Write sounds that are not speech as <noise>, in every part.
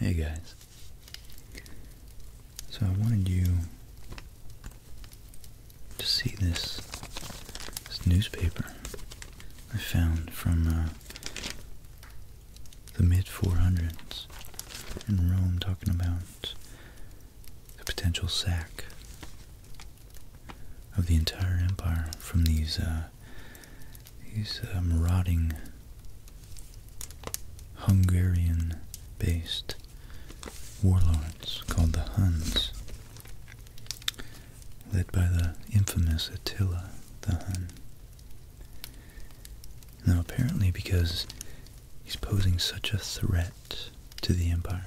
Hey guys. So I wanted you to see this newspaper I found from uh, the mid 400s in Rome talking about the potential sack of the entire empire from these uh, these uh, marauding Hungarian-based warlords called the Huns, led by the infamous Attila the Hun. Now apparently because he's posing such a threat to the empire,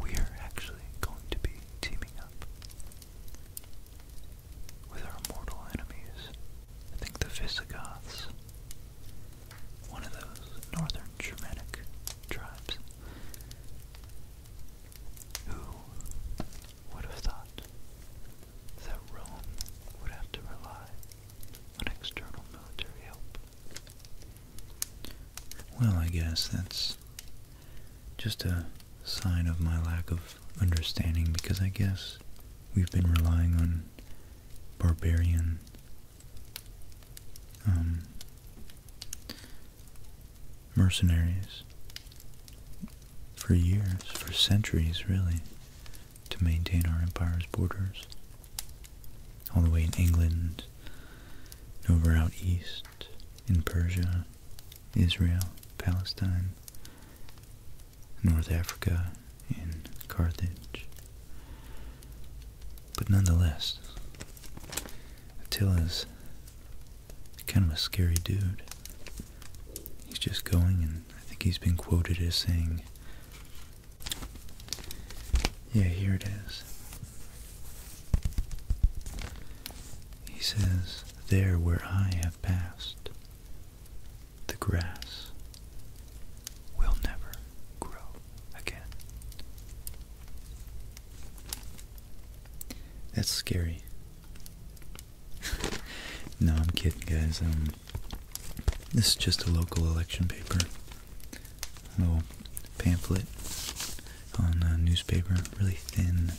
we're actually going to be teaming up with our mortal enemies. I think the Visigoths, one of those northern Germanic tribes, who would have thought that Rome would have to rely on external military help? Well, I guess that's just a sign of my lack of understanding because I guess we've been relying on barbarian um, mercenaries for years, for centuries really, to maintain our empire's borders. All the way in England, over out east, in Persia, Israel, Palestine, North Africa, and Carthage. But nonetheless, Attila's kind of a scary dude. He's just going, and I think he's been quoted as saying, yeah, here it is. He says, there where I have passed, the grass will never grow again. That's scary. <laughs> no, I'm kidding, guys. Um, this is just a local election paper. little pamphlet on a newspaper, really thin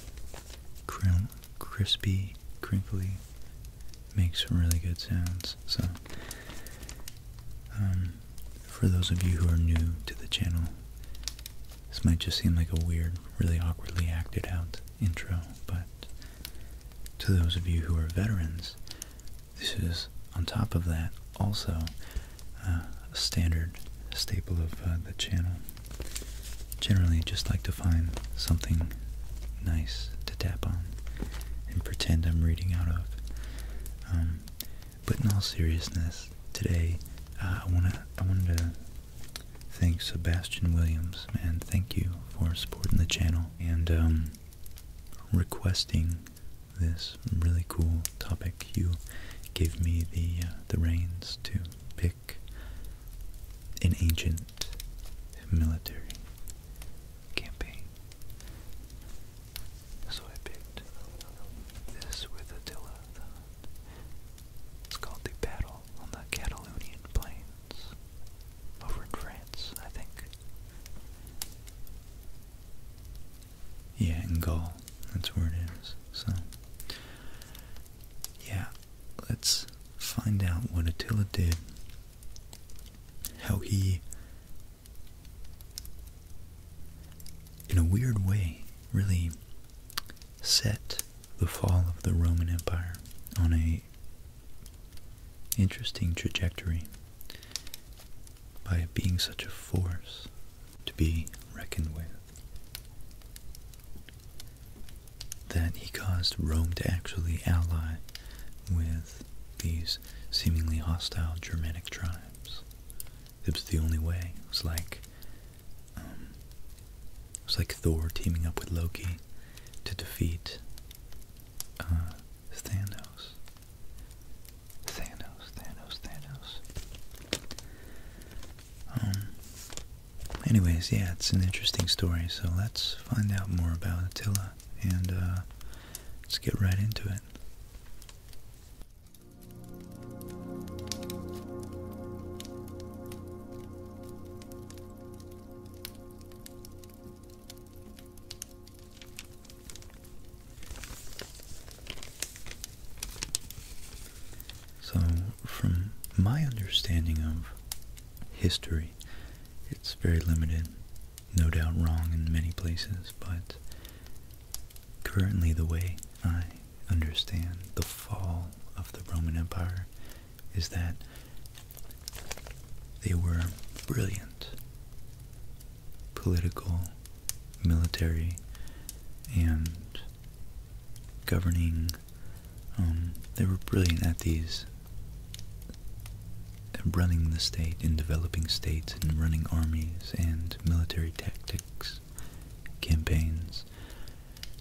crim crispy, crinkly, makes some really good sounds. So, um, for those of you who are new to the channel, this might just seem like a weird, really awkwardly acted out intro, but to those of you who are veterans, this is, on top of that, also uh, a standard staple of uh, the channel generally just like to find something nice to tap on and pretend I'm reading out of. Um, but in all seriousness, today uh, I wanna I wanted to thank Sebastian Williams, man. Thank you for supporting the channel and um, requesting this really cool topic. You gave me the uh, the reins to pick pick an ancient military campaign. So I picked this with Attila It's called The Battle on the Catalonian Plains. Over in France, I think. Yeah, in Gaul. That's where it is. So, yeah, let's find out what Attila did, how he, in a weird way, really set the fall of the Roman Empire on a interesting trajectory by being such a force to be reckoned with that he caused Rome to actually ally with these seemingly hostile Germanic tribes. It was the only way. It was like, um, it was like Thor teaming up with Loki to defeat uh, Thanos. Thanos, Thanos, Thanos. Um, anyways, yeah, it's an interesting story, so let's find out more about Attila and uh, let's get right into it. So, from my understanding of history, it's very limited, no doubt wrong in many places, but currently the way I understand the fall of the Roman Empire is that they were brilliant political, military, and governing. Um, they were brilliant at these, uh, running the state and developing states and running armies and military tactics, campaigns.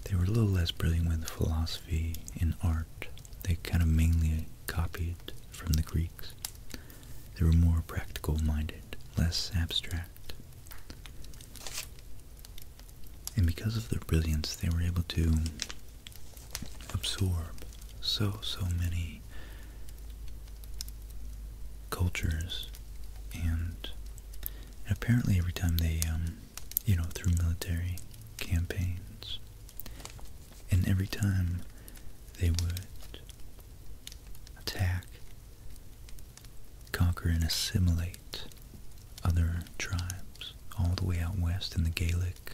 They were a little less brilliant with philosophy and art. They kind of mainly copied from the Greeks. They were more practical minded, less abstract. And because of their brilliance, they were able to absorb so, so many cultures. And apparently, every time they, um, you know, through military campaigns, and every time they would attack conquer and assimilate other tribes all the way out west in the Gaelic,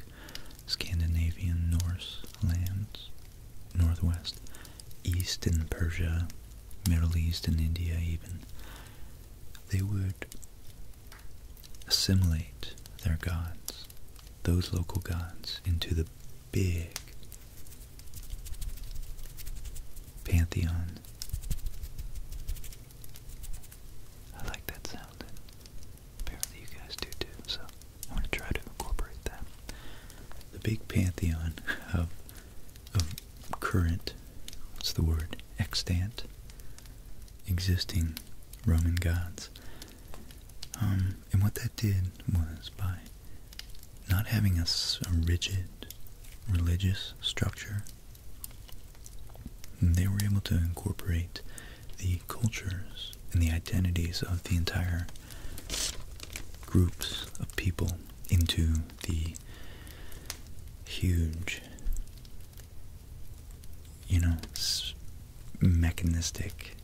Scandinavian, Norse lands, northwest, east in Persia, Middle East and India even. They would assimilate their gods, those local gods, into the big pantheon I like that sound, apparently you guys do too, so I'm to try to incorporate that. The big pantheon of, of current, what's the word, extant, existing Roman gods. Um, and what that did was by not having a rigid religious structure they were able to incorporate the cultures and the identities of the entire groups of people into the huge, you know, mechanistic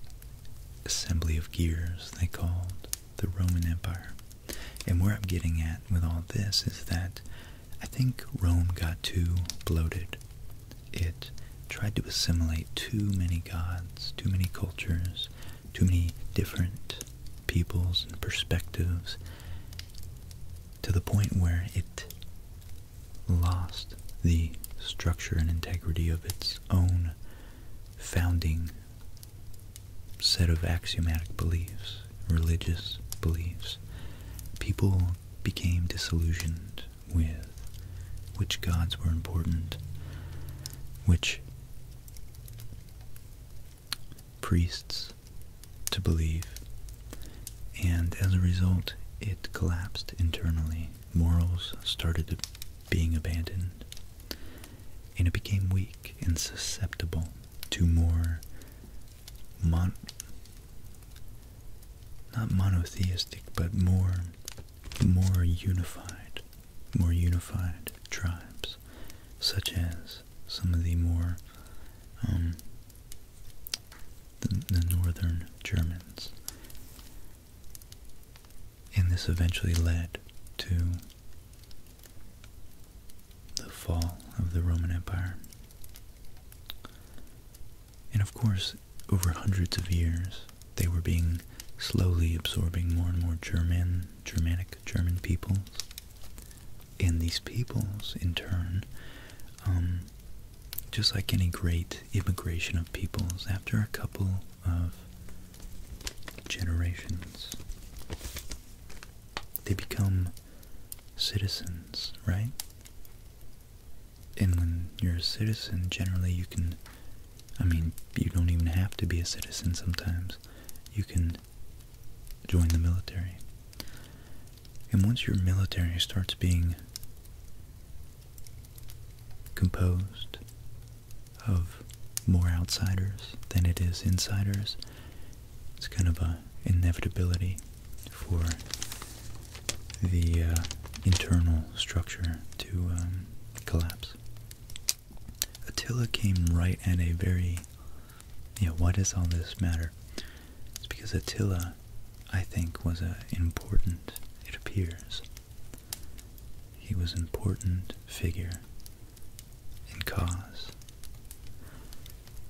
assembly of gears they called the Roman Empire. And where I'm getting at with all this is that I think Rome got too bloated. It tried to assimilate too many gods, too many cultures, too many different peoples and perspectives to the point where it lost the structure and integrity of its own founding set of axiomatic beliefs religious beliefs, people became disillusioned with which gods were important, which priests to believe, and as a result, it collapsed internally. Morals started being abandoned, and it became weak and susceptible to more not monotheistic but more more unified more unified tribes such as some of the more um, the northern Germans and this eventually led to the fall of the Roman Empire and of course, over hundreds of years, they were being slowly absorbing more and more German, Germanic, German peoples. And these peoples, in turn, um, just like any great immigration of peoples, after a couple of generations, they become citizens, right? And when you're a citizen, generally you can, I mean, you don't even have to be a citizen sometimes. You can join the military. And once your military starts being composed of more outsiders than it is insiders, it's kind of a inevitability for the uh, internal structure to um, collapse. Attila came right at a very, yeah, you know, why does all this matter? It's because Attila, I think, was an important, it appears, he was an important figure in cause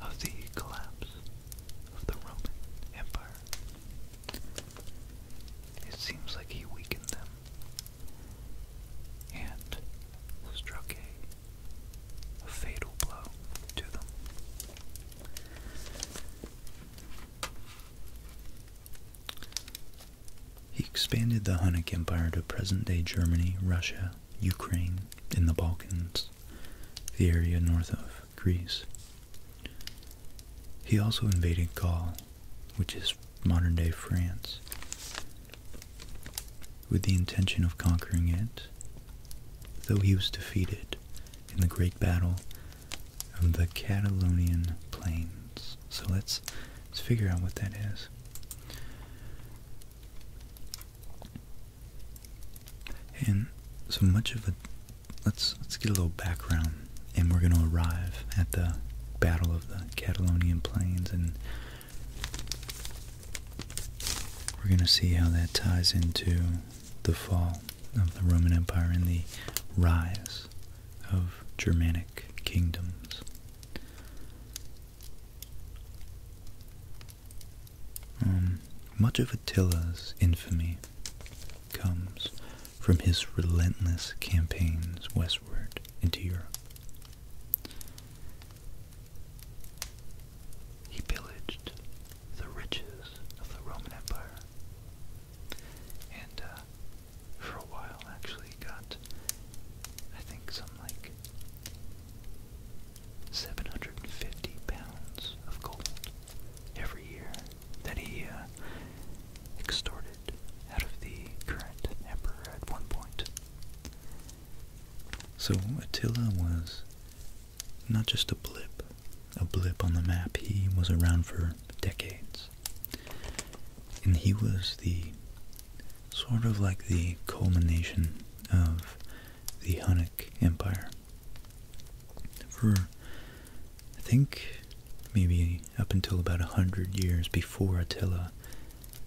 of the collapse of the Roman Empire. It seems like he weakened them and struck a, fatal blow to them. He expanded the Hunnic Empire to present day Germany, Russia, Ukraine, in the Balkans, the area north of Greece. He also invaded Gaul, which is modern day France, with the intention of conquering it, though he was defeated in the great battle of the Catalonian plains. So let's let's figure out what that is. And so much of a Let's let's get a little background, and we're going to arrive at the Battle of the Catalonian Plains, and we're going to see how that ties into the fall of the Roman Empire and the rise of Germanic kingdoms. Um, much of Attila's infamy comes from his relentless campaigns westward into Europe. He pillaged the riches of the Roman Empire and uh, for a while actually got, I think, some like 750 pounds of gold every year that he uh, extorted out of the current emperor at one point. So Attila was not just a blip, a blip on the map. He was around for decades. And he was the sort of like the culmination of the Hunnic Empire for I think maybe up until about a hundred years before Attila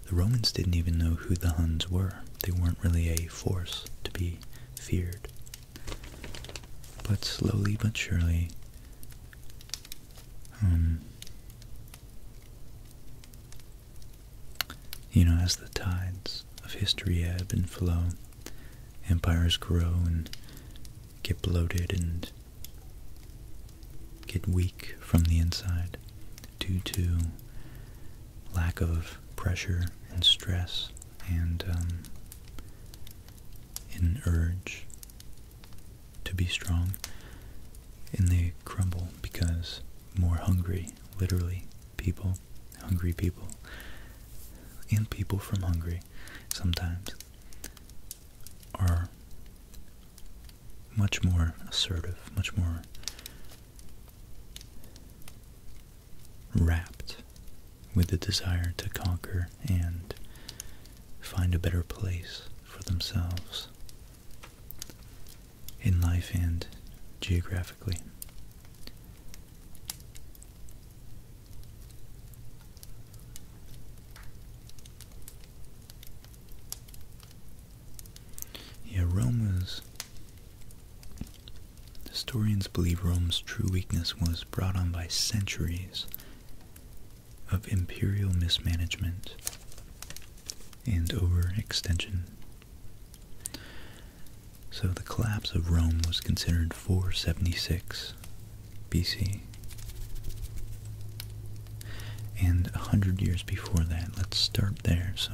the Romans didn't even know who the Huns were they weren't really a force to be feared but slowly but surely um, you know as the tides of history ebb and flow. Empires grow and get bloated and get weak from the inside due to lack of pressure and stress and um, an urge to be strong. And they crumble because more hungry, literally, people hungry people, and people from Hungary sometimes are much more assertive, much more wrapped with the desire to conquer and find a better place for themselves in life and geographically. Yeah, Rome was... Historians believe Rome's true weakness was brought on by centuries of imperial mismanagement and overextension. So the collapse of Rome was considered 476 BC. And 100 years before that, let's start there. So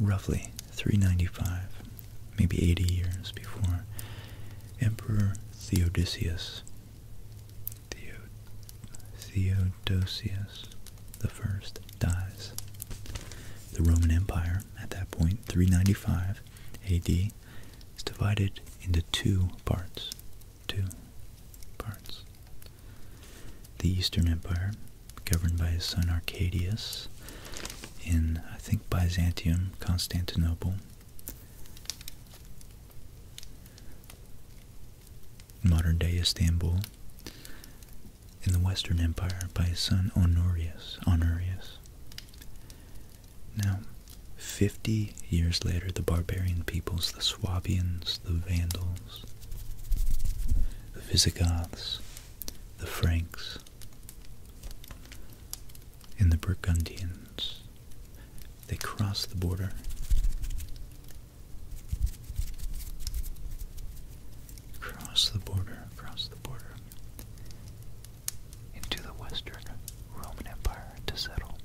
roughly 395, maybe 80 years before Emperor Theodosius, Theo Theodosius I dies. The Roman Empire at that point, 395 AD, is divided into two parts. Two parts. The Eastern Empire, governed by his son Arcadius in, I think, Byzantium, Constantinople. Modern day Istanbul in the Western Empire by his son Honorius. Honorius. Now, 50 years later, the barbarian peoples, the Swabians, the Vandals, the Visigoths, the Franks, and the Burgundians, they crossed the border. Cross the border, across the border into the Western Roman Empire to settle.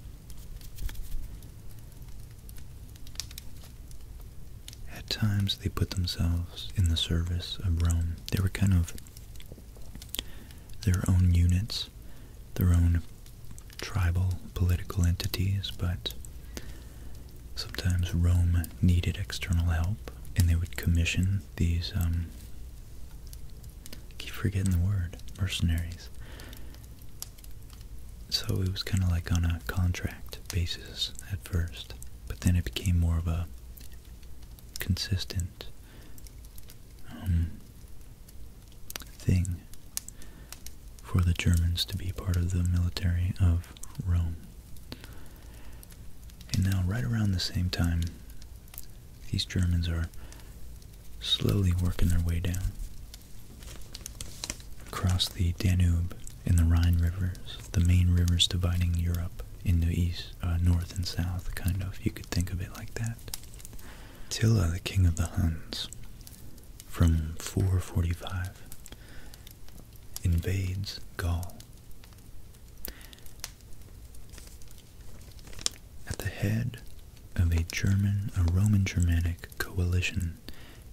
At times, they put themselves in the service of Rome. They were kind of their own units, their own tribal political entities, but sometimes Rome needed external help, and they would commission these, um, keep forgetting the word, mercenaries. So it was kind of like on a contract basis at first, but then it became more of a consistent um, thing for the Germans to be part of the military of Rome. And now, right around the same time, these Germans are slowly working their way down across the Danube and the Rhine rivers, the main rivers dividing Europe into east, uh, north and south, kind of. You could think of it like that. Attila, the king of the Huns, from 445, invades Gaul at the head of a German, a Roman Germanic coalition,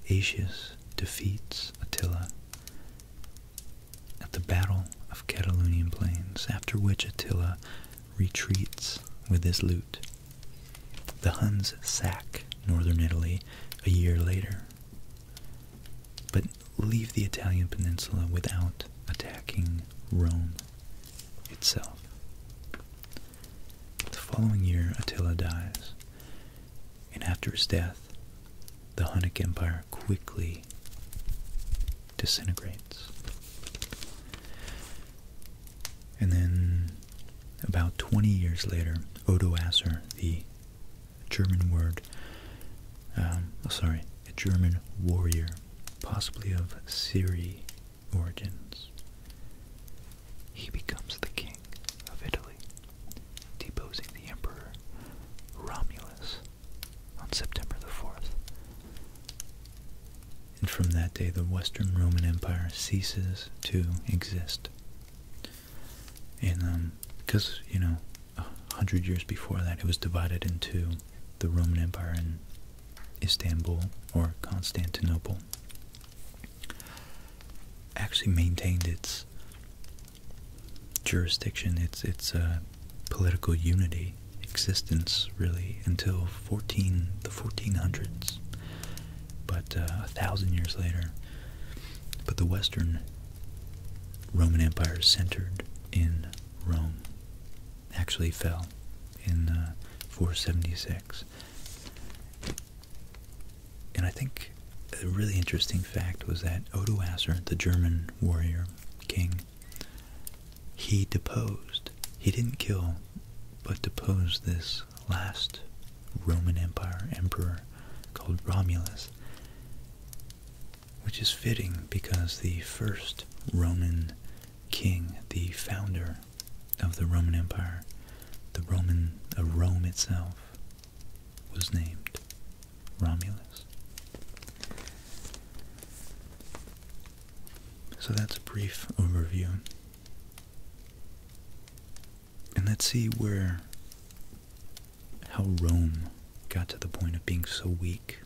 Atius defeats Attila at the Battle of Catalonian Plains, after which Attila retreats with his loot. The Huns sack northern Italy a year later, but leave the Italian peninsula without attacking Rome itself. The following year, Attila dies, and after his death, the Hunnic Empire quickly disintegrates. And then, about 20 years later, Odoacer, the German word, um, oh, sorry, a German warrior, possibly of Siri origins. He becomes the king of Italy, deposing the emperor Romulus on September the 4th. And from that day, the Western Roman Empire ceases to exist. And because, um, you know, hundred years before that, it was divided into the Roman Empire and Istanbul or Constantinople. Actually maintained its jurisdiction, its its uh, political unity, existence really until fourteen the fourteen hundreds. But uh, a thousand years later, but the Western Roman Empire centered in Rome actually fell in uh, 476. And I think a really interesting fact was that Odoacer, the German warrior king, he deposed, he didn't kill, but deposed this last Roman Empire emperor called Romulus which is fitting because the first Roman king, the founder of the Roman Empire, the Roman of Rome itself, was named Romulus. So that's a brief overview. And let's see where how Rome got to the point of being so weak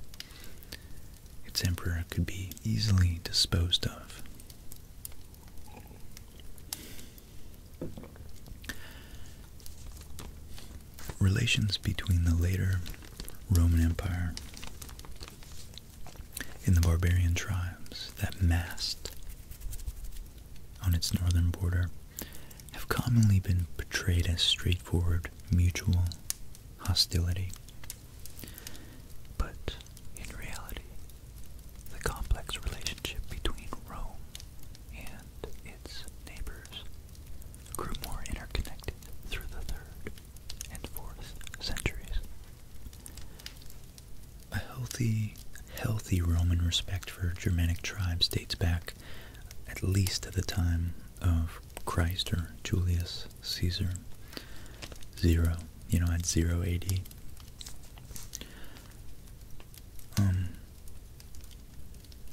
its emperor could be easily disposed of. Relations between the later Roman Empire and the barbarian tribes that massed on its northern border have commonly been portrayed as straightforward mutual hostility. But in reality, the complex relationship between Rome and its neighbors grew more interconnected through the third and fourth centuries. A healthy, healthy Roman respect for Germanic tribes dates back at least at the time of Christ or Julius Caesar, zero, you know, at zero AD. Um,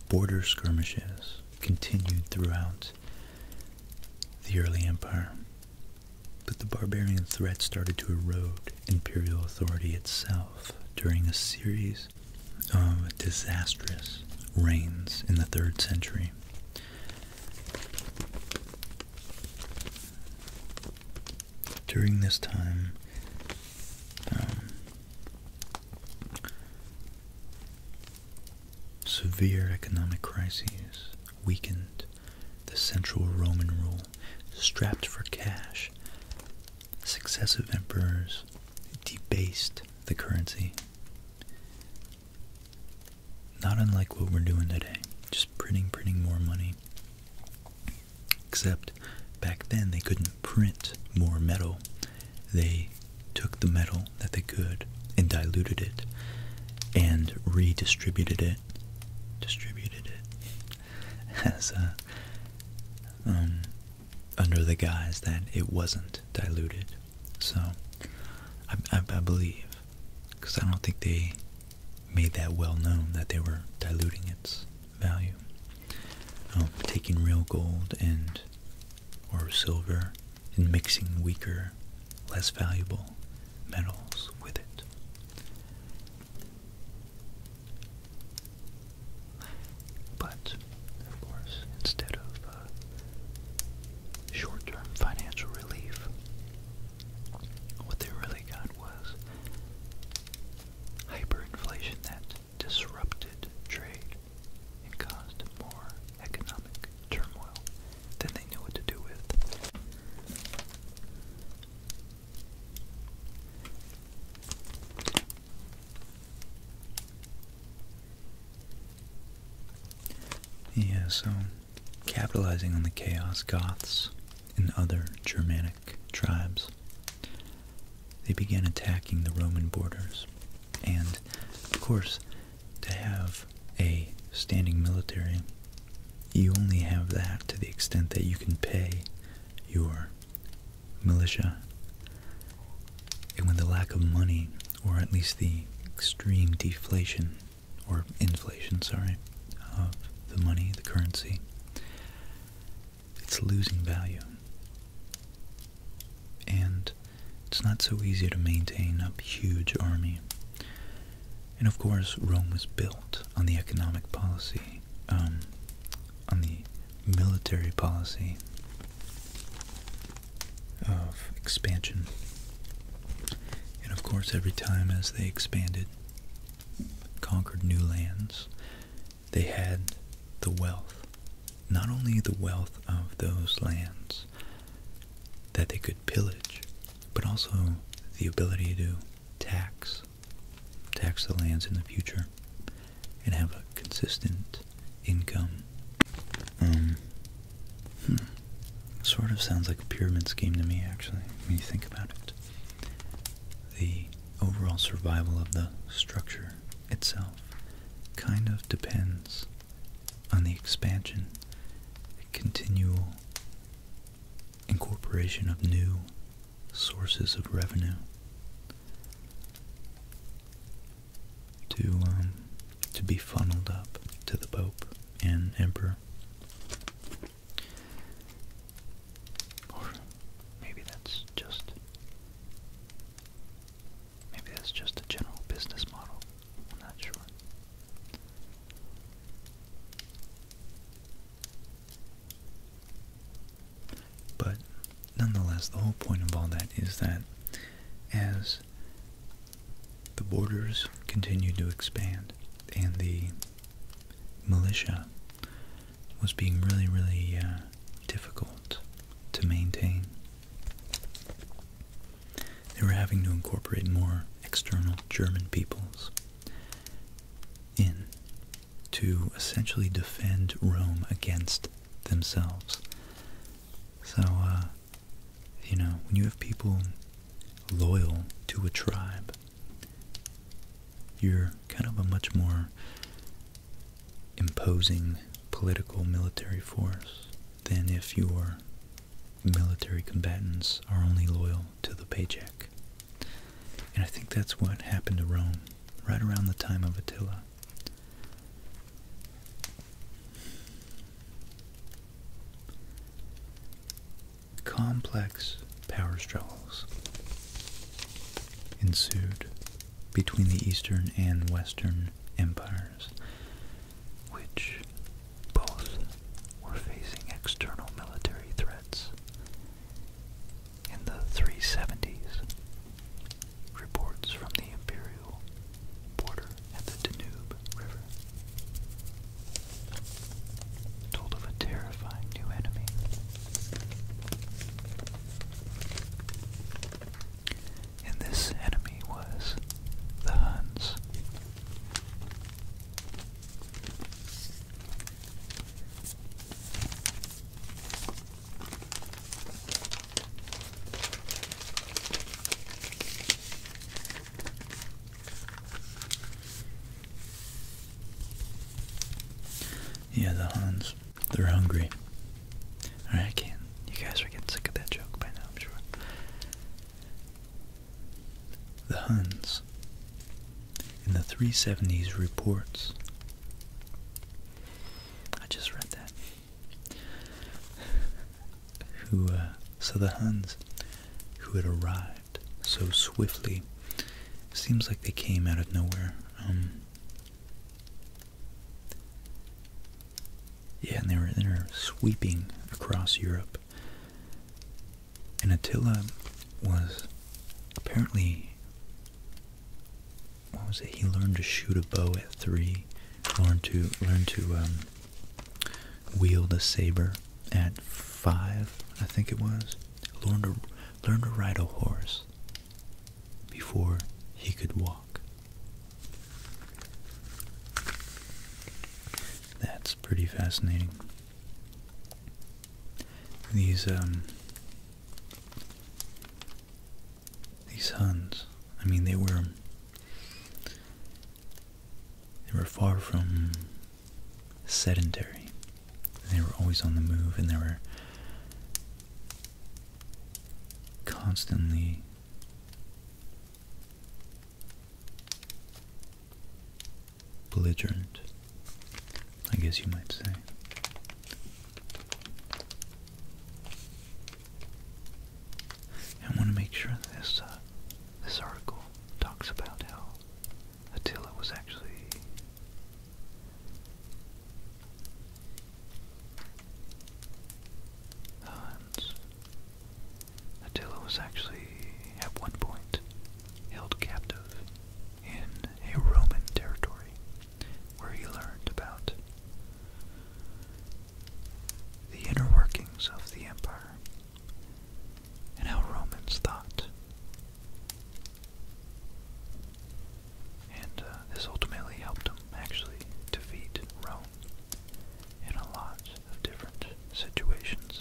border skirmishes continued throughout the early empire, but the barbarian threat started to erode imperial authority itself during a series of disastrous reigns in the third century. During this time, um, severe economic crises weakened the central Roman rule. Strapped for cash, successive emperors debased the currency. Not unlike what we're doing today, just printing, printing more money. Except back then they couldn't print more metal. They took the metal that they could and diluted it and redistributed it, distributed it <laughs> as a, uh, um, under the guise that it wasn't diluted. So, I, believe, because I don't think they made that well known that they were diluting its value. Um, taking real gold and or silver and mixing weaker, less valuable metals with it. But returns, of course, instead of uh, short term financial relief. What they really got was hyperinflation that disrupted trade and caused more economic turmoil than they knew what to do with. Yeah, so capitalizing on the chaos, Goths and other Germanic tribes, they began attacking the Roman borders. And, of course, to have a standing military, you only have that to the extent that you can pay your militia. And when the lack of money or at least the extreme deflation or inflation, sorry, of the money, the currency, it's losing value. And it's not so easy to maintain a huge army. And of course, Rome was built on the economic policy, um, on the military policy of expansion. And of course, every time as they expanded, conquered new lands, they had the wealth, not only the wealth of those lands that they could pillage, but also the ability to tax, tax the lands in the future, and have a consistent income. Um, hmm. Sort of sounds like a pyramid scheme to me, actually, when you think about it. The overall survival of the structure itself kind of depends on the expansion, the continual incorporation of new sources of revenue to um, to be funneled up to the Pope and Emperor. Or maybe that's just maybe that's just a general business model. not sure. But nonetheless, the whole point of all that is that as the borders continued to expand and the militia was being really, really uh, difficult to maintain. They were having to incorporate more external German peoples in to essentially defend Rome against themselves. So, uh, you know, when you have people loyal to a tribe, you're kind of a much more imposing political military force than if your military combatants are only loyal to the paycheck. And I think that's what happened to Rome right around the time of Attila. Complex power struggles ensued between the Eastern and Western empires, which both were facing external military threats. In the 370s, reports from the imperial border at the Danube River told of a terrifying new enemy. And this enemy was the Huns. Yeah, the Huns. They're hungry. Alright, I You guys are getting sick of that joke by now, I'm sure. The Huns. In the 370s reports. I just read that who, uh, so the Huns who had arrived so swiftly, seems like they came out of nowhere. Um, yeah, and they were, they were sweeping across Europe. And Attila was apparently, what was it? He learned to shoot a bow at three, learned to learn to um, wield a saber at five, I think it was. Learned to, ride a horse before he could walk. That's pretty fascinating. These um, these Huns, I mean, they were they were far from sedentary. They were always on the move, and they were constantly belligerent, I guess you might say. I want to make sure this uh, this article talks about how Attila was actually Attila was actually at one point held captive in a Roman territory where he learned about the inner workings of the empire and how Romans thought. And uh, this ultimately helped him actually defeat Rome in a lot of different situations.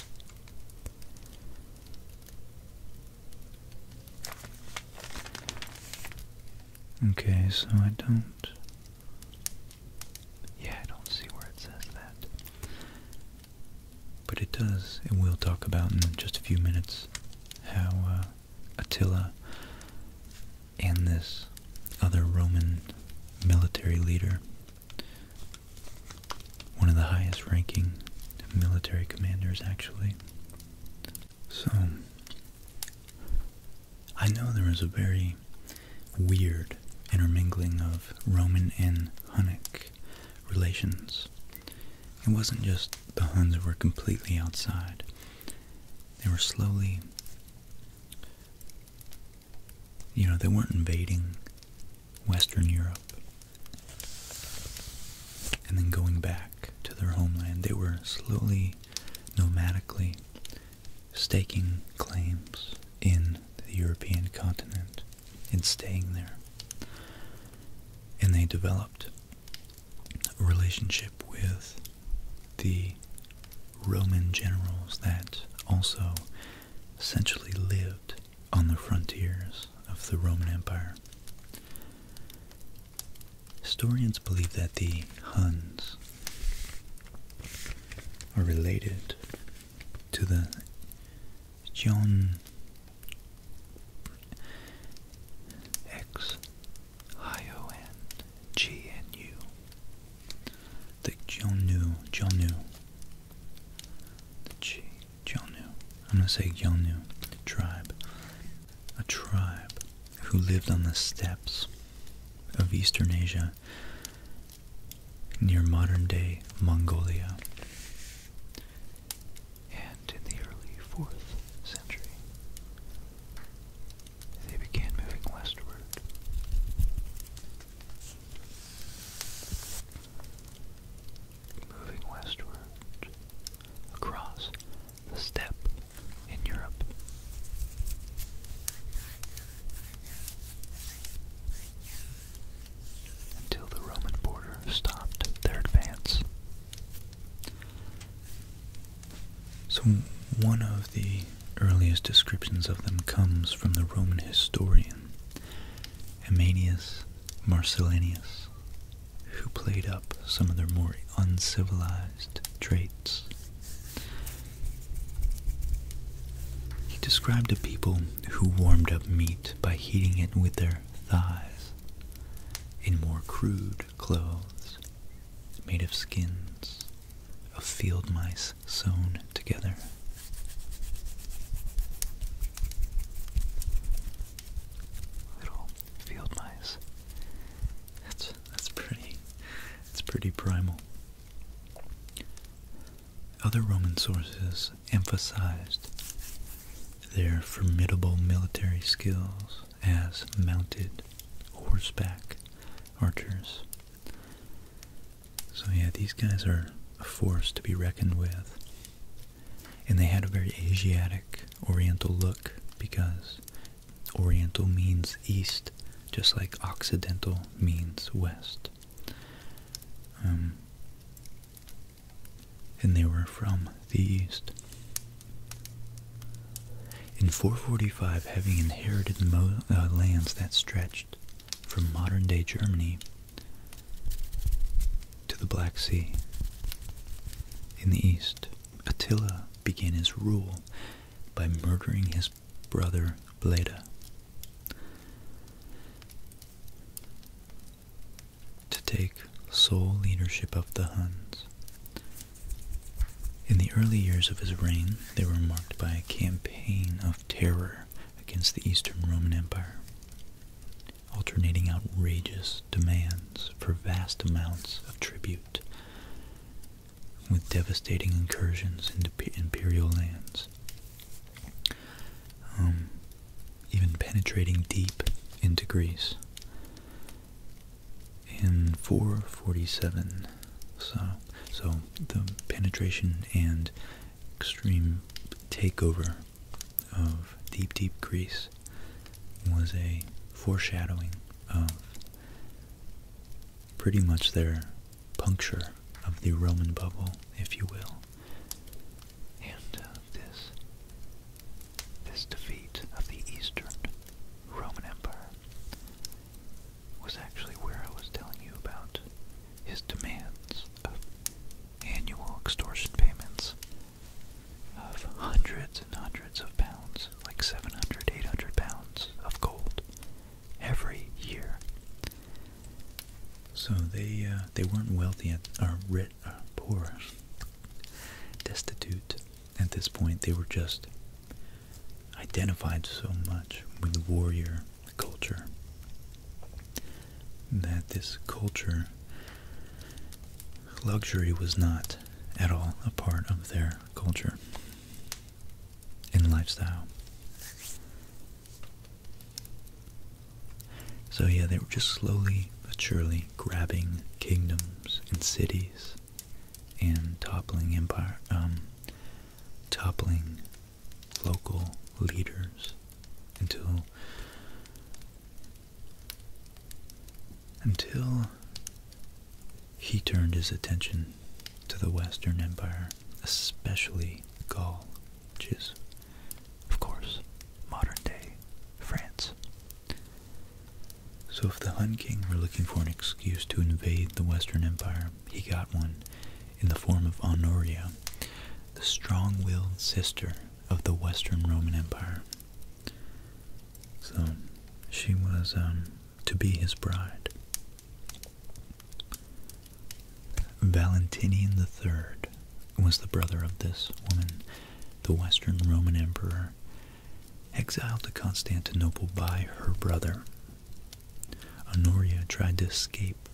Okay, so I don't yeah, I don't see where it says that. But it does, and we'll talk about in just a few minutes how uh, Attila and this other Roman military leader, one of the highest ranking military commanders actually. So, I know there was a very weird intermingling of Roman and Hunnic relations. It wasn't just the Huns were completely outside. They were slowly, you know, they weren't invading Western Europe and then going back to their homeland. They were slowly, nomadically staking claims in the European continent and staying there. And they developed a relationship with the Roman generals that also essentially lived on the frontiers of the Roman Empire. Historians believe that the Huns are related to the John X I O N G N U the Jonu Jonu the G Jonu I'm gonna say Jonu tribe a tribe who lived on the steppes of Eastern Asia near modern day Mongolia. And in the early 4th century, they began moving westward. Moving westward across the steppe in Europe until the Roman border stopped their advance. So, one of the earliest descriptions of them comes from the Roman historian Hemanius Marcellinus, who played up some of their more uncivilized traits. He described the people who warmed up meat by heating it with their thighs in more crude clothes made of skins of field mice sewn together. Little field mice. That's that's pretty. It's pretty primal. Other Roman sources emphasized their formidable military skills as mounted horseback archers. So, yeah, these guys are a force to be reckoned with. And they had a very Asiatic, Oriental look because Oriental means east, just like Occidental means west. Um, and they were from the East. In 445, having inherited mo uh, lands that stretched from modern-day Germany to the Black Sea in the East, Attila began his rule by murdering his brother Bleda. To take sole leadership of the Huns. In the early years of his reign, they were marked by a campaign of terror against the Eastern Roman Empire, alternating outrageous demands for vast amounts of tribute with devastating incursions into imperial lands, um, even penetrating deep into Greece. In 447, so so the penetration and extreme takeover of deep deep Greece was a foreshadowing of pretty much their puncture of the Roman bubble, if you will. And uh, this, this defeat of the Eastern Roman Empire was actually where I was telling you about his demands of annual extortion payments of hundreds and hundreds of pounds, like 700, 800 pounds of gold every year. So they uh, they weren't wealthy or rich, or poor, destitute. At this point, they were just identified so much with the warrior culture that this culture luxury was not at all a part of their culture in lifestyle. So yeah, they were just slowly but surely grabbing kingdoms and cities and toppling empire, um, toppling local leaders until until he turned his attention to the Western Empire, especially Gaul, which is, of course, modern day France. So, if the Hun King were looking for an excuse to invade the Western Empire, he got one in the form of Honoria, the strong willed sister of the Western Roman Empire. So, she was um, to be his bride. Valentinian III was the brother of this woman, the Western Roman emperor, exiled to Constantinople by her brother. Honoria tried to escape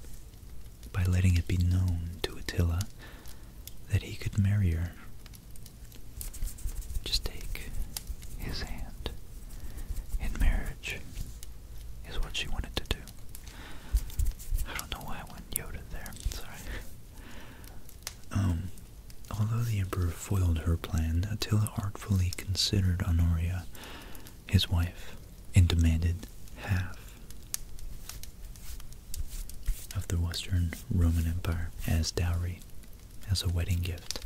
by letting it be known to Attila that he could marry her. Just take his hand. In marriage is what she wanted to do. I don't know why I went Yoda there. Sorry. Um, although the emperor foiled her plan, Attila artfully considered Honoria his wife and demanded half of the Western Roman Empire as dowry, as a wedding gift.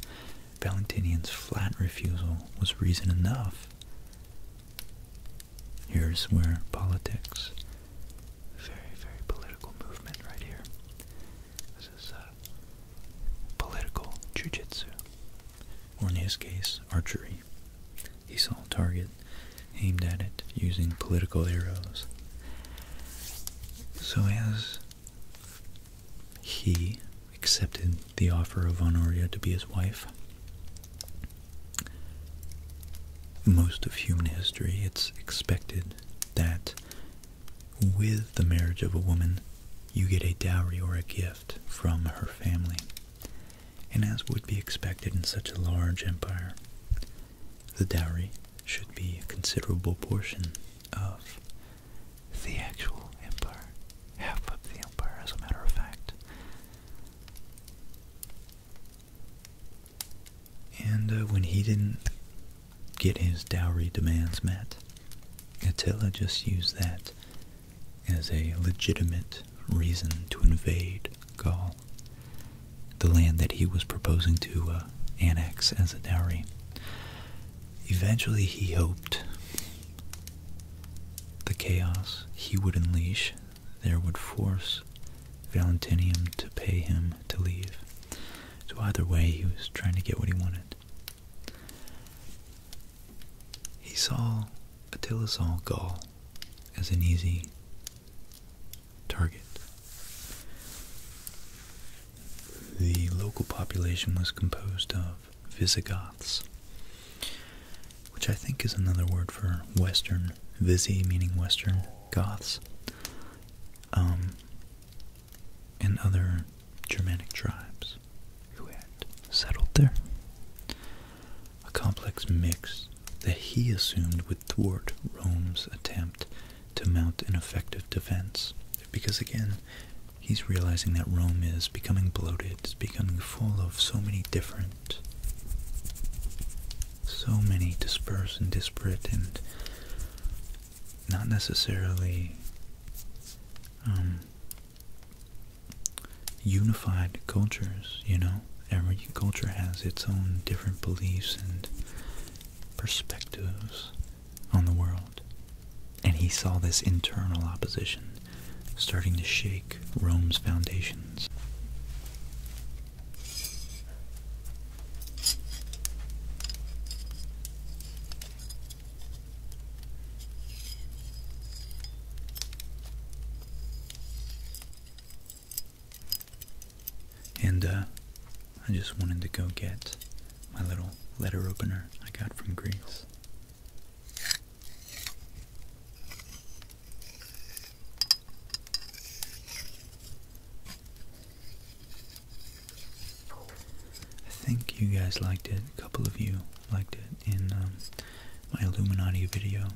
Valentinian's flat refusal was reason enough Here's where politics, very, very political movement right here. This is uh, political jujitsu, or in his case, archery. He saw a target, aimed at it using political arrows. So as he accepted the offer of Honoria to be his wife. Most of human history, it's expected that with the marriage of a woman, you get a dowry or a gift from her family. And as would be expected in such a large empire, the dowry should be a considerable portion of the actual empire, half of the empire, as a matter of fact. And uh, when he didn't get his dowry demands met, Attila just used that as a legitimate reason to invade Gaul, the land that he was proposing to uh, annex as a dowry. Eventually, he hoped the chaos he would unleash there would force Valentinian to pay him to leave. So either way, he was trying to get what he wanted. He saw Attila's saw Gaul as an easy target. The local population was composed of Visigoths, which I think is another word for Western, Visi meaning Western Goths, um, and other Germanic tribes who had settled there. A complex mix that he assumed would thwart Rome's attempt to mount an effective defense. Because again, he's realizing that Rome is becoming bloated, Becoming full of so many different, so many dispersed and disparate and not necessarily um, unified cultures, you know? Every culture has its own different beliefs and perspectives on the world. And he saw this internal opposition starting to shake Rome's foundations. And uh, I just wanted to go get my little letter opener I got from Greece. I think you guys liked it. A couple of you liked it in um, my Illuminati video.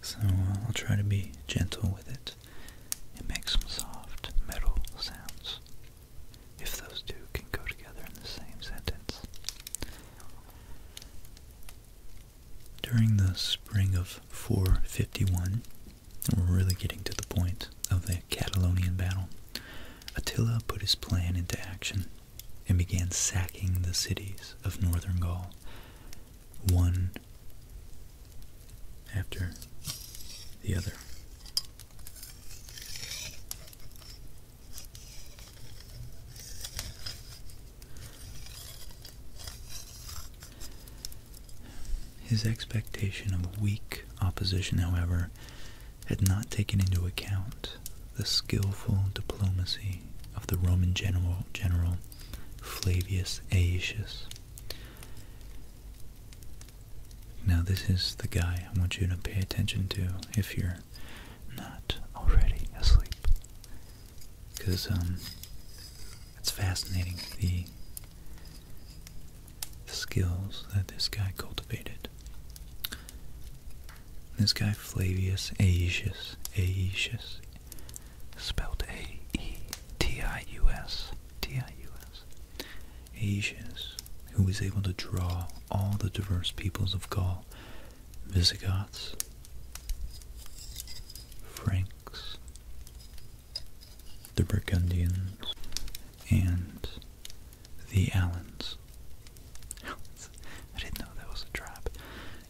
So uh, I'll try to be gentle with it and make some soft metal sounds if those two can go together in the same sentence. During the spring of 451, we're really getting to the point of the Catalonian battle, Attila put his plan into action and began sacking the cities of northern Gaul, one after the other. His expectation of weak opposition, however, had not taken into account the skillful diplomacy of the Roman general, Flavius Aetius. Now, this is the guy I want you to pay attention to if you're not already asleep. Because, um, it's fascinating the, skills that this guy cultivated. This guy, Flavius Aetius, Aetius, spelled A E T I U S, T I U S, Asians, who was able to draw all the diverse peoples of Gaul, Visigoths, Franks, the Burgundians, and the Alans. <laughs>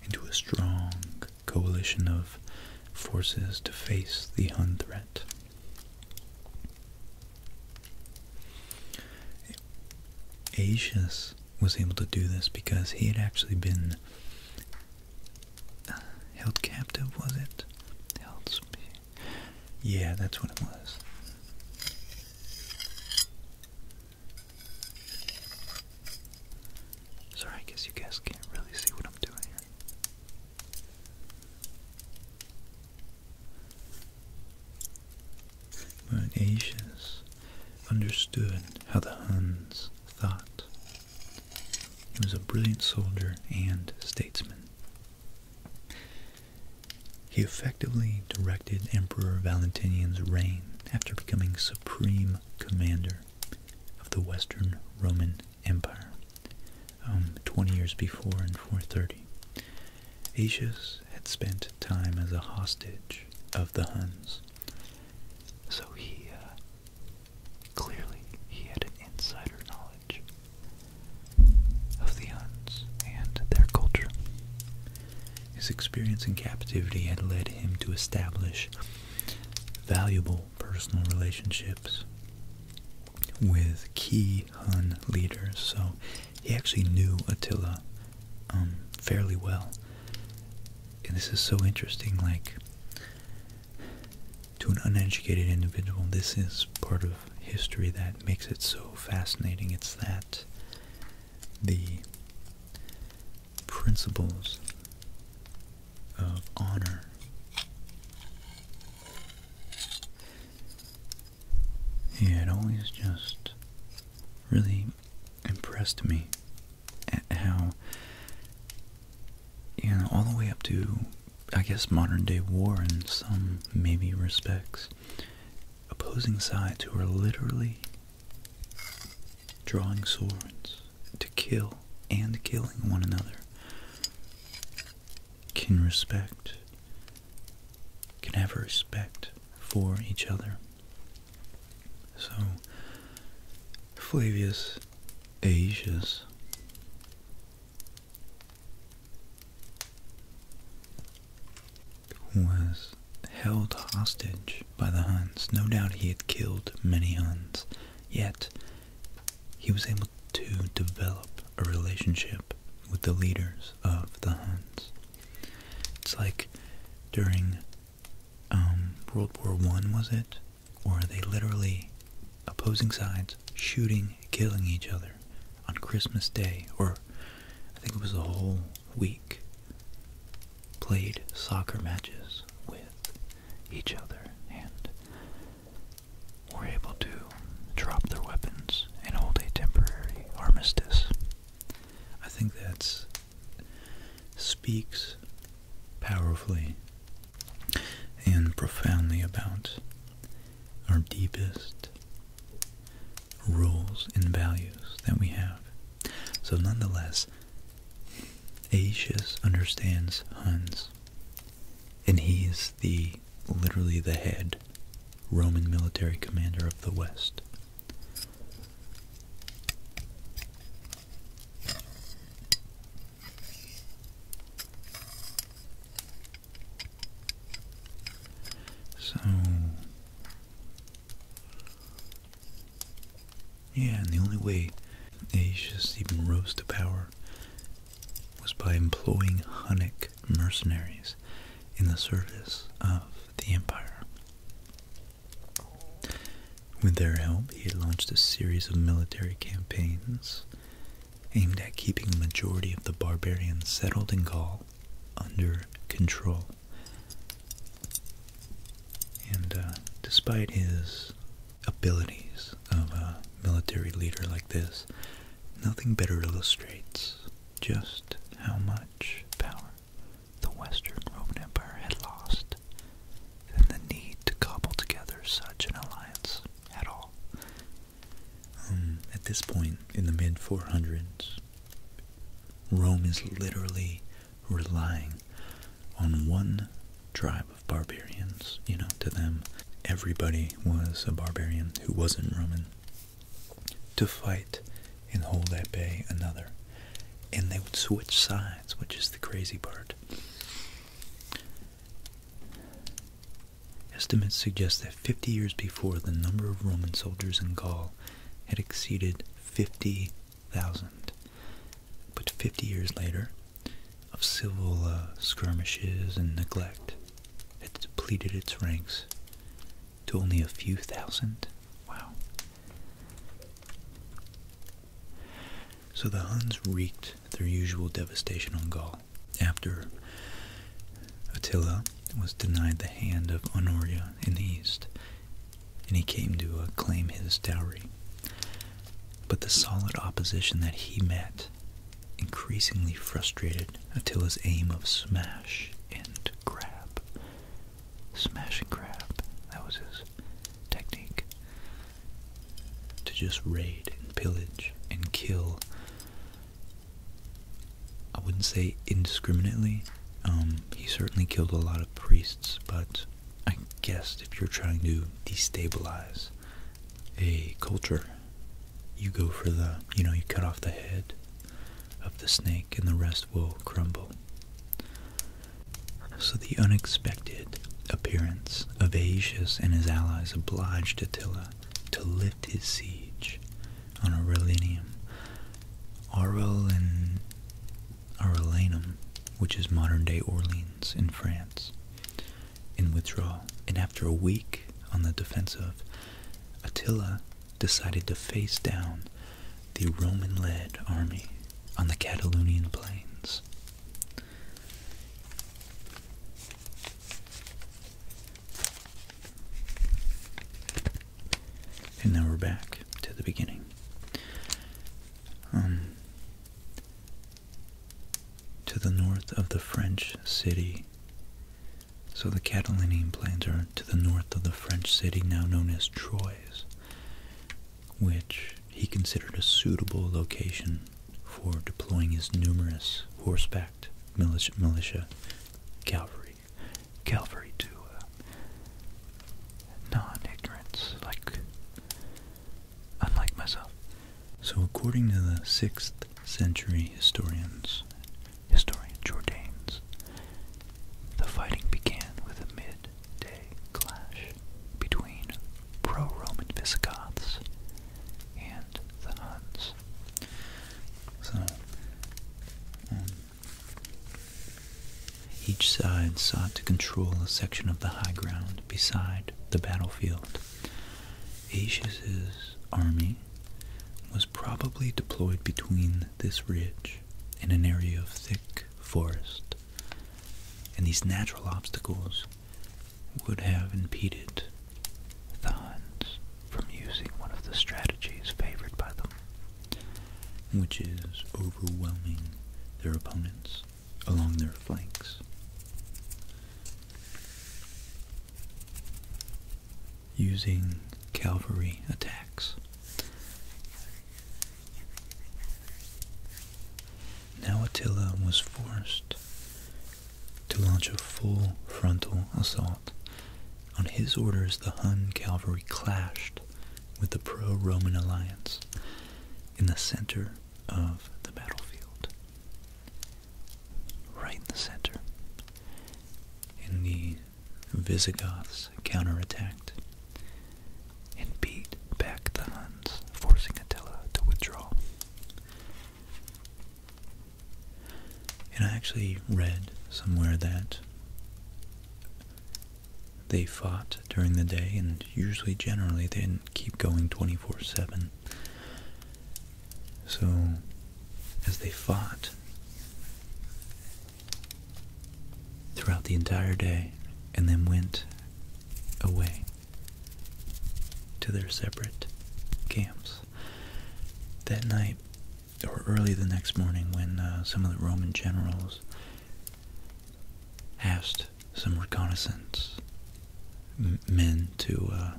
Into a strong coalition of forces to face the Hun threat. Asius was able to do this because he had actually been uh, held captive, was it? yeah, that's what it was. Sorry, I guess you guys can't really see what I'm doing here. When Asians understood how the Huns thought, he was a brilliant soldier and statesman. He effectively directed Emperor Valentinian's reign after becoming supreme commander of the Western Roman Empire. Um, 20 years before in 430. Asius had spent time as a hostage of the Huns, so he uh, clearly he had insider knowledge of the Huns and their culture. His experience in captivity had led him to establish valuable personal relationships with key Hun leaders, so he actually knew Attila um, fairly well. And this is so interesting, like, to an uneducated individual, this is part of history that makes it so fascinating. It's that the principles of honor it always just really impressed me how, you know, all the way up to, I guess, modern day war in some maybe respects, opposing sides who are literally drawing swords to kill and killing one another can respect, can have respect for each other. So, Flavius Aetius was held hostage by the Huns. No doubt he had killed many Huns, yet he was able to develop a relationship with the leaders of the Huns. It's like during um, World War One, was it? Or they literally opposing sides shooting, killing each other on Christmas Day, or I think it was a whole week, played soccer matches with each other, and were able to drop their weapons and hold a temporary armistice. I think that speaks powerfully and profoundly about our deepest rules and values that we have. So nonetheless, Aetius understands Huns, and he is the literally the head Roman military commander of the West. So, yeah, and the only way Aetius even rose to power was by employing Hunnic mercenaries in the service of the empire. With their help, he launched a series of military campaigns aimed at keeping the majority of the barbarians settled in Gaul under control. And uh, despite his abilities of a military leader like this, nothing better illustrates just how much power the Western Roman Empire had lost and the need to cobble together such an alliance at all. Um, at this point in the mid 400s, Rome is literally relying on one tribe of barbarians. You know, to them, everybody was a barbarian who wasn't Roman to fight and hold at bay another. And they would switch sides, which is the crazy part. Estimates suggest that 50 years before, the number of Roman soldiers in Gaul had exceeded 50,000. But 50 years later, of civil uh, skirmishes and neglect, had depleted its ranks to only a few thousand. Wow. So the Huns wreaked their usual devastation on Gaul. After Attila was denied the hand of Honoria in the east, and he came to claim his dowry. But the solid opposition that he met increasingly frustrated Attila's aim of smash and grab. Smash and grab, that was his technique. To just raid and pillage and kill. I wouldn't say indiscriminately. Um, he certainly killed a lot of priests, but I guess if you're trying to destabilize a culture, you go for the, you know, you cut off the head of the snake and the rest will crumble. So the unexpected appearance of Aetius and his allies obliged Attila to lift his siege on Aurelium. and Aurelinum, which is modern-day Orleans in France, in withdrawal. And after a week on the defense of Attila decided to face down the Roman-led army on the Catalonian plains. And now we're back to the beginning. Um, to the north of the French city so the Catalonian Planter to the north of the French city now known as Troyes, which he considered a suitable location for deploying his numerous horsebacked militia, cavalry, cavalry to uh, non-ignorance, like unlike myself. So according to the sixth century historians, historian Jordanes, the fighting began with a midday clash between pro-Roman Visigoths and the Huns. So, um, each side sought to control a section of the high ground beside the battlefield. Aetius's army was probably deployed between this ridge and an area of thick forest, and these natural obstacles would have impeded the Huns from using one of the strategies favored by them, which is overwhelming their opponents along their flanks using cavalry attacks. Now Attila was forced to launch a full frontal assault. On his orders, the Hun cavalry clashed with the pro-Roman alliance in the center of the battlefield. Right in the center. In the Visigoths counterattacked and beat back the Huns, forcing Attila to withdraw. And I actually read somewhere that they fought during the day, and usually, generally, they didn't keep going 24 7. So, as they fought throughout the entire day and then went away to their separate camps, that night or early the next morning when uh, some of the Roman generals asked some reconnaissance men to uh,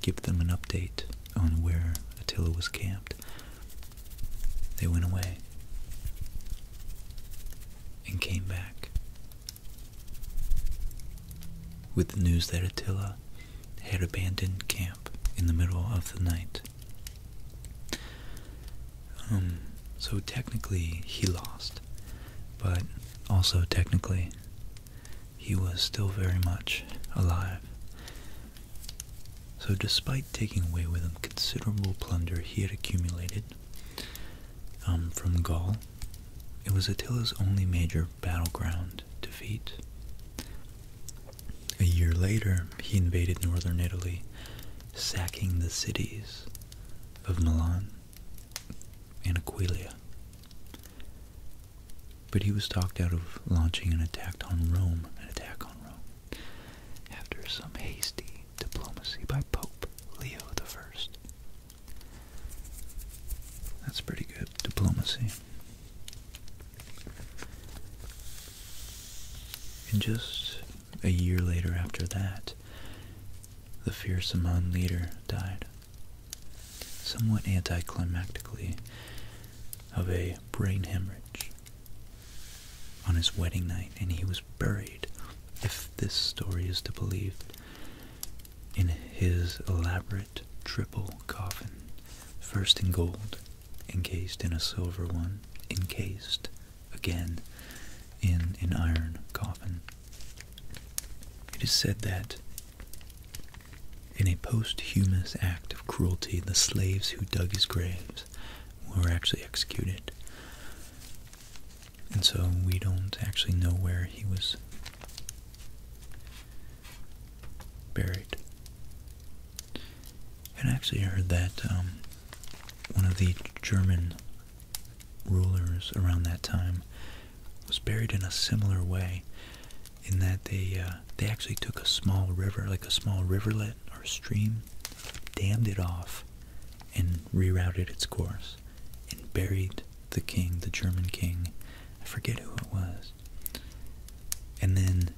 give them an update on where Attila was camped, they went away and came back with the news that Attila had abandoned camp in the middle of the night. Um, so technically he lost, but also technically he was still very much alive so, despite taking away with him considerable plunder he had accumulated um, from Gaul, it was Attila's only major battleground defeat. A year later, he invaded northern Italy, sacking the cities of Milan and Aquileia. But he was talked out of launching an attack on Rome, an attack on Rome, after some hasty diplomacy by Pope Leo I. That's pretty good diplomacy. And just a year later after that, the fierce Amman leader died. Somewhat anticlimactically, of a brain hemorrhage on his wedding night, and he was buried, if this story is to be believed, in his elaborate triple coffin, first in gold, encased in a silver one, encased again in an iron coffin. It is said that in a posthumous act of cruelty, the slaves who dug his graves were actually executed. And so we don't actually know where he was buried. And I actually heard that um, one of the German rulers around that time was buried in a similar way in that they uh, they actually took a small river, like a small riverlet or stream, dammed it off, and rerouted its course, and buried the king, the German king, I forget who it was, and then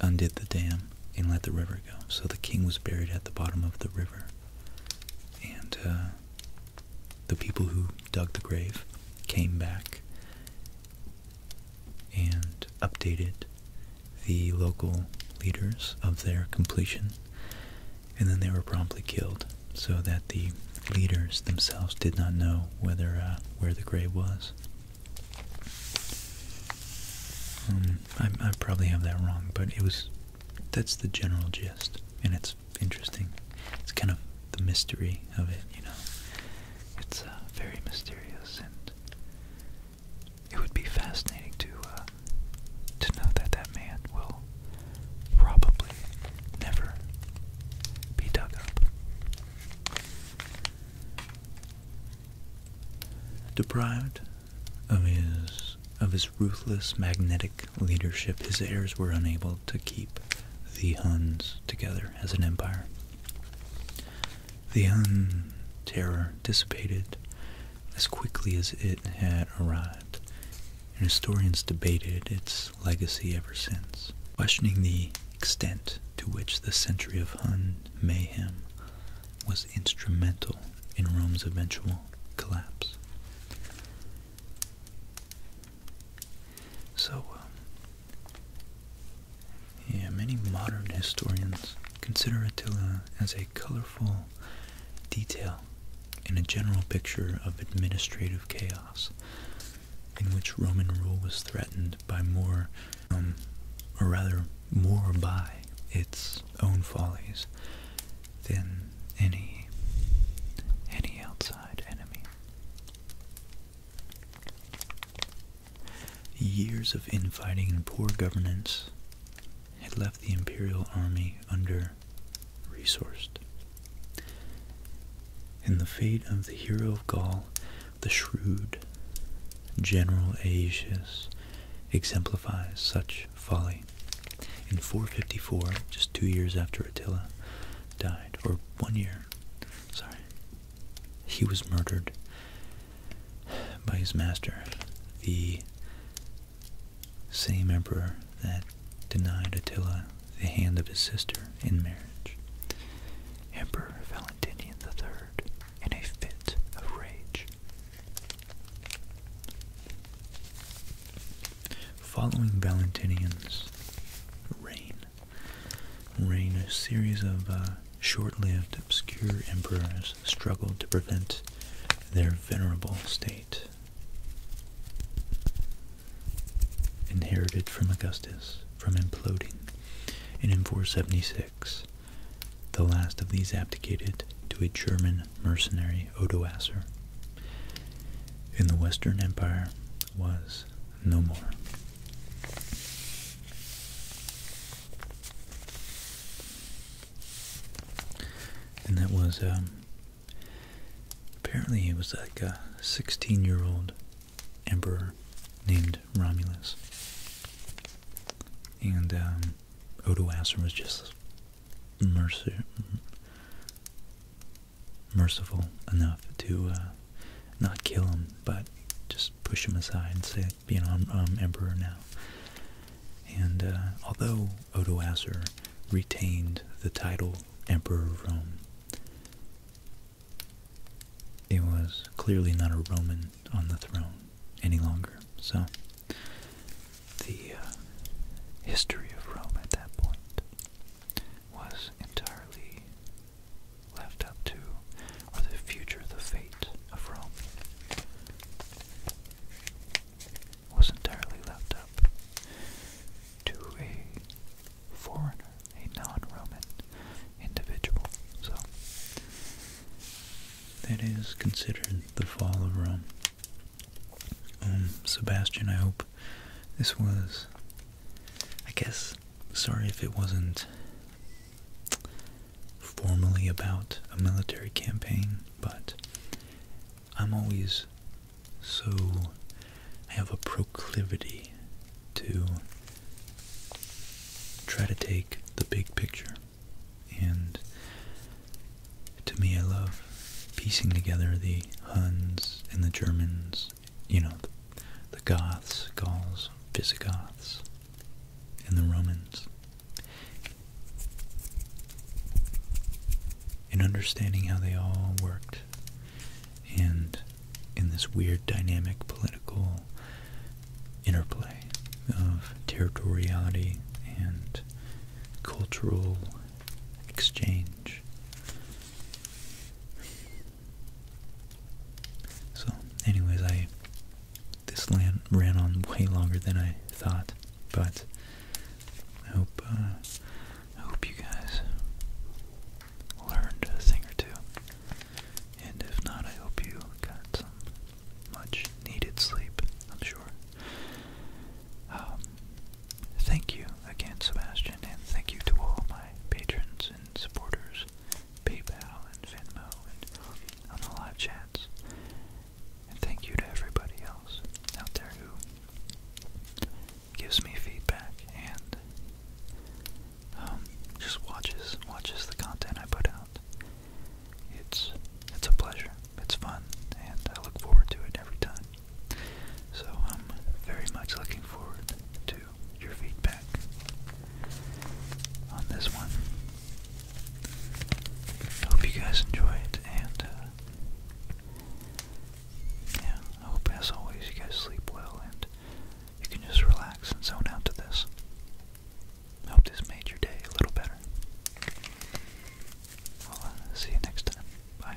undid the dam and let the river go. So the king was buried at the bottom of the river, and uh, the people who dug the grave came back and updated the local leaders of their completion, and then they were promptly killed so that the leaders themselves did not know whether uh, where the grave was. Um, I, probably have that wrong, but it was that's the general gist, and it's interesting. It's kind of the mystery of it, you know. It's uh, very mysterious and it would be fascinating to uh, to know that that man will probably never be dug up. Deprived of his of his ruthless magnetic leadership, his heirs were unable to keep the Huns together as an empire. The Hun terror dissipated as quickly as it had arrived, and historians debated its legacy ever since, questioning the extent to which the century of Hun mayhem was instrumental in Rome's eventual collapse. So, um, yeah, many modern historians consider Attila uh, as a colorful detail in a general picture of administrative chaos in which Roman rule was threatened by more, um, or rather more by its own follies than any, any outside enemy. Years of infighting and poor governance had left the imperial army under resourced. And the fate of the hero of Gaul, the shrewd General Aetius, exemplifies such folly. In 454, just two years after Attila died, or one year, sorry, he was murdered by his master, the same emperor that denied Attila the hand of his sister in marriage. Emperor Valentinian the Third, in a fit of rage. Following Valentinian's reign, a series of uh, short-lived obscure emperors struggled to prevent their venerable state, inherited from Augustus, from imploding. in 476, the last of these abdicated to a German mercenary, Odoacer. In the Western Empire was no more. And that was, um, apparently he was like a 16-year-old emperor named Romulus. And um, Odoacer was just merciful enough to uh, not kill him, but just push him aside and say, "Be an um, emperor now. And uh, although Odoacer retained the title Emperor of Rome, it was clearly not a Roman on the throne any longer. So, the uh, history of Rome at that point was entirely left up to, or the future, the fate of Rome, was entirely left up to a foreigner, a non-Roman individual. So that is considered the fall of Rome. Um, Sebastian, I hope this was. I guess sorry if it wasn't formally about a military campaign, but I'm always so. I have a proclivity to try to take the big picture. And to me, I love piecing together the Huns and the Germans, you know, the, Goths, Gauls, Visigoths, and the Romans. And understanding how they all worked and in this weird dynamic political interplay of territoriality and cultural exchange. So, anyways, I this land ran on way longer than I thought, but I hope uh, I hope you guys learned a thing or two. And if not, I hope you got some much needed sleep. I'm sure. Um, thank you again, Sebastian, and thank you to all my patrons and supporters. PayPal and Venmo and on the live chats. And thank you to everybody else out there who gives me feedback and um, just watches watches the content I put out. It's it's a pleasure. It's fun, and I look forward to it every time. So I'm very much looking forward to your feedback on this one hope you guys enjoy it, and uh, yeah, I hope as always you guys sleep well and you can just relax and zone out to this. hope this made your day a little better. Well, uh, see you next time. Bye.